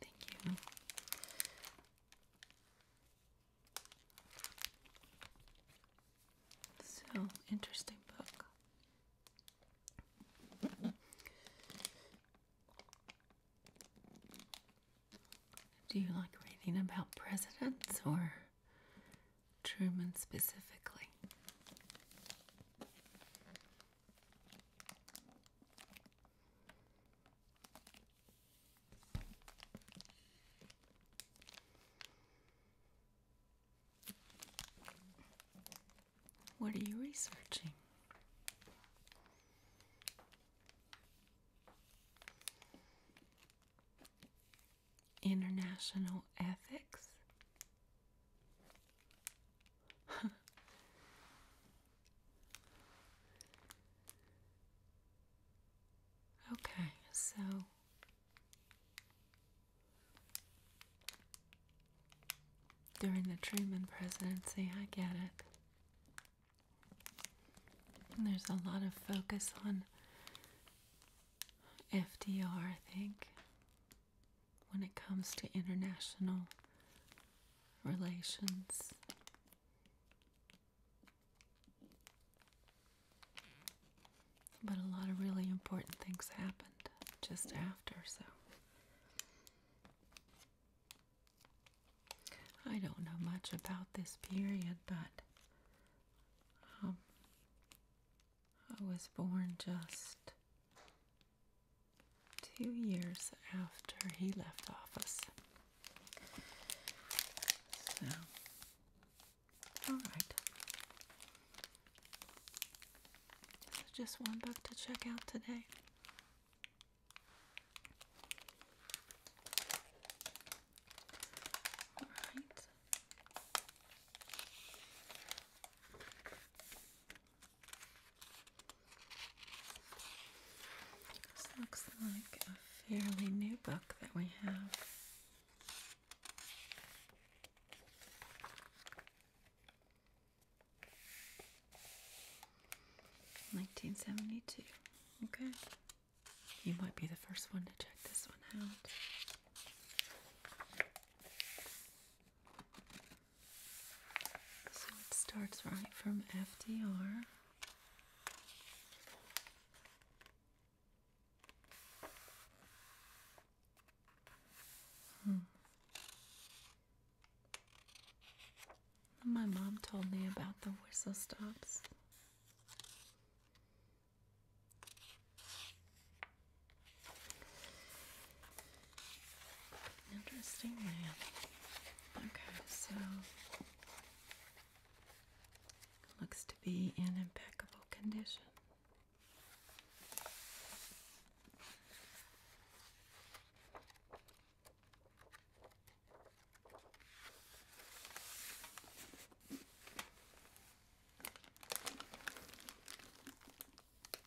Thank you. So, interesting book. Do you like reading about presidents or Truman specifically? What are you researching? International ethics? okay, so during the Truman presidency, I get it. there's a lot of focus on FDR, I think when it comes to international relations. But a lot of really important things happened just after, so I don't know much about this period, but um, I was born just two years after he left office. So, all right. just one book to check out today. All right. This looks like a fairly new book that we have. Nineteen seventy two. Okay. You might be the first one to check this one out. So it starts right from FDR. Hmm. My mom told me about the whistle stops. Interesting man. Okay, so looks to be in impeccable condition.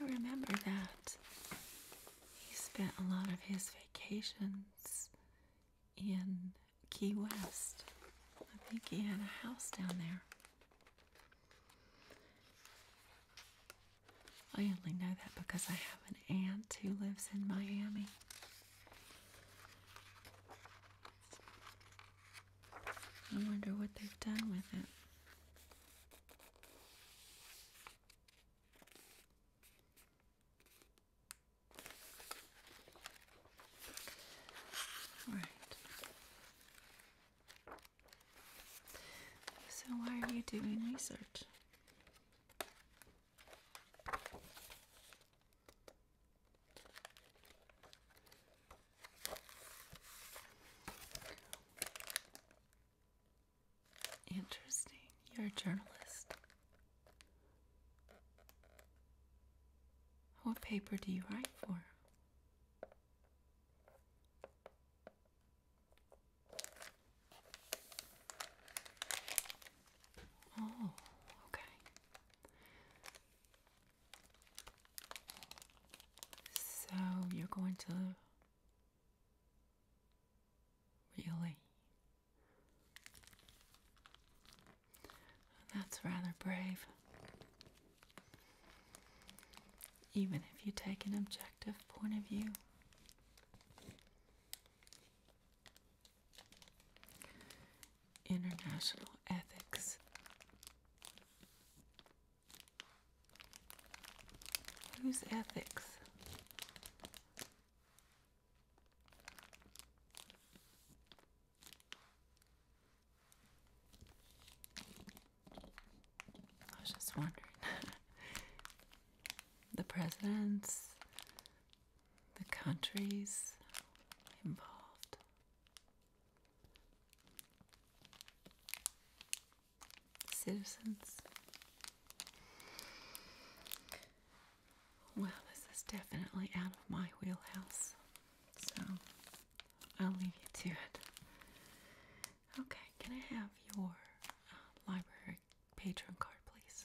I remember that he spent a lot of his vacations in Key West. I think he had a house down there. I only know that because I have an aunt who lives in Miami. I wonder what they've done with it. All right. So why are you doing research? Interesting. You're a journalist. What paper do you write for? Oh, okay. So you're going to really. That's rather brave. Even if you take an objective point of view, International ethics. Whose ethics? I was just wondering. the presidents, the countries involved. Citizens. Well, this is definitely out of my wheelhouse, so I'll leave you to it. Okay, can I have your uh, library patron card, please?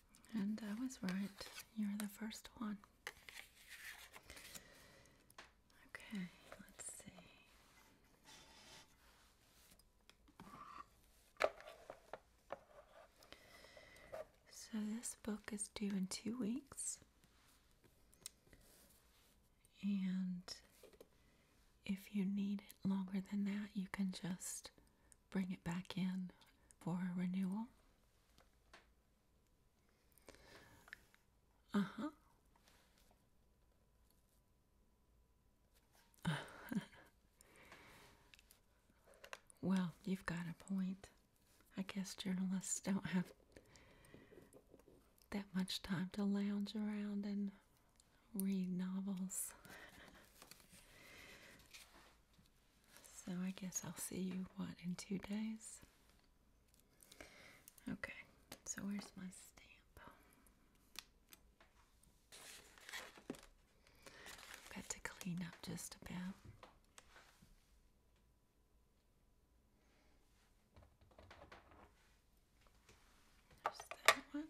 And I was right. You're the first one. Okay, let's see. So, this book is due in two weeks. And if you need it longer than that, you can just bring it back in for renewal. Uh huh. well, you've got a point. I guess journalists don't have that much time to lounge around and read novels. So I guess I'll see you, what, in two days? Okay, so where's my stamp? i to clean up just about. There's that one.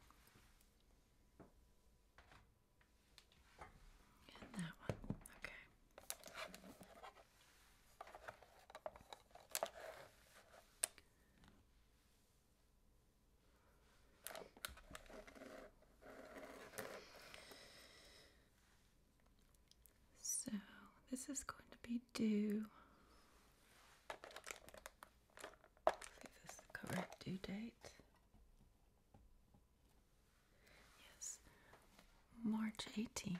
So, this is going to be due. I think correct due date. Yes, March 18th.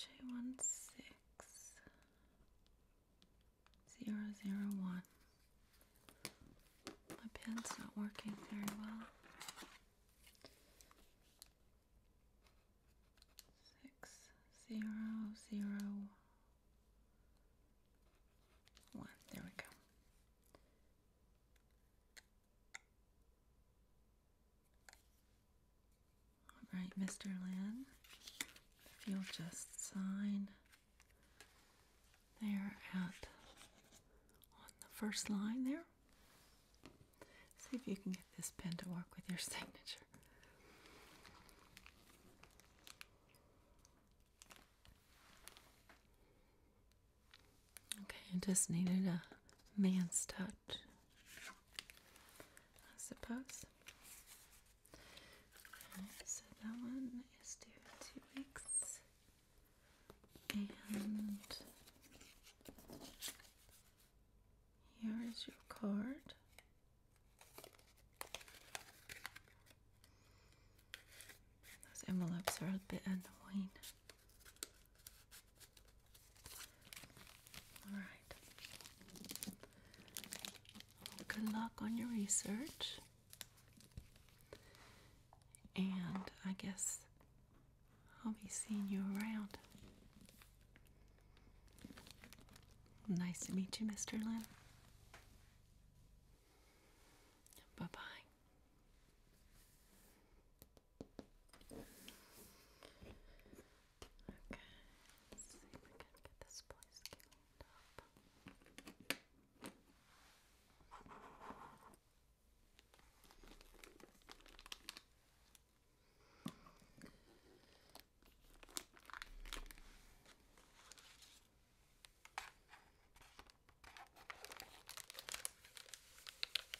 J16001. Zero, zero, one. My pen's not working very well. Six, zero, zero, one. There we go. All right, Mr. Lin, if you'll just sign there at on the first line there. See if you can get this pen to work with your signature. Okay, I just needed a man's touch. I suppose. so that one is due in two weeks. And here is your card. Those envelopes are a bit annoying. All right. Good luck on your research. And I guess I'll be seeing you around. Nice to meet you, Mr. Lynn. Bye bye. Okay, let's see if we can get this place cleaned up. Okay.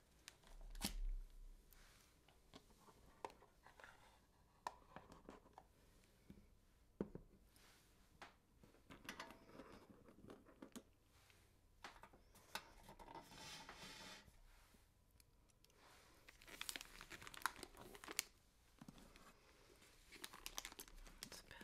It's better.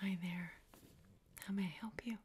Hi there. How may I help you?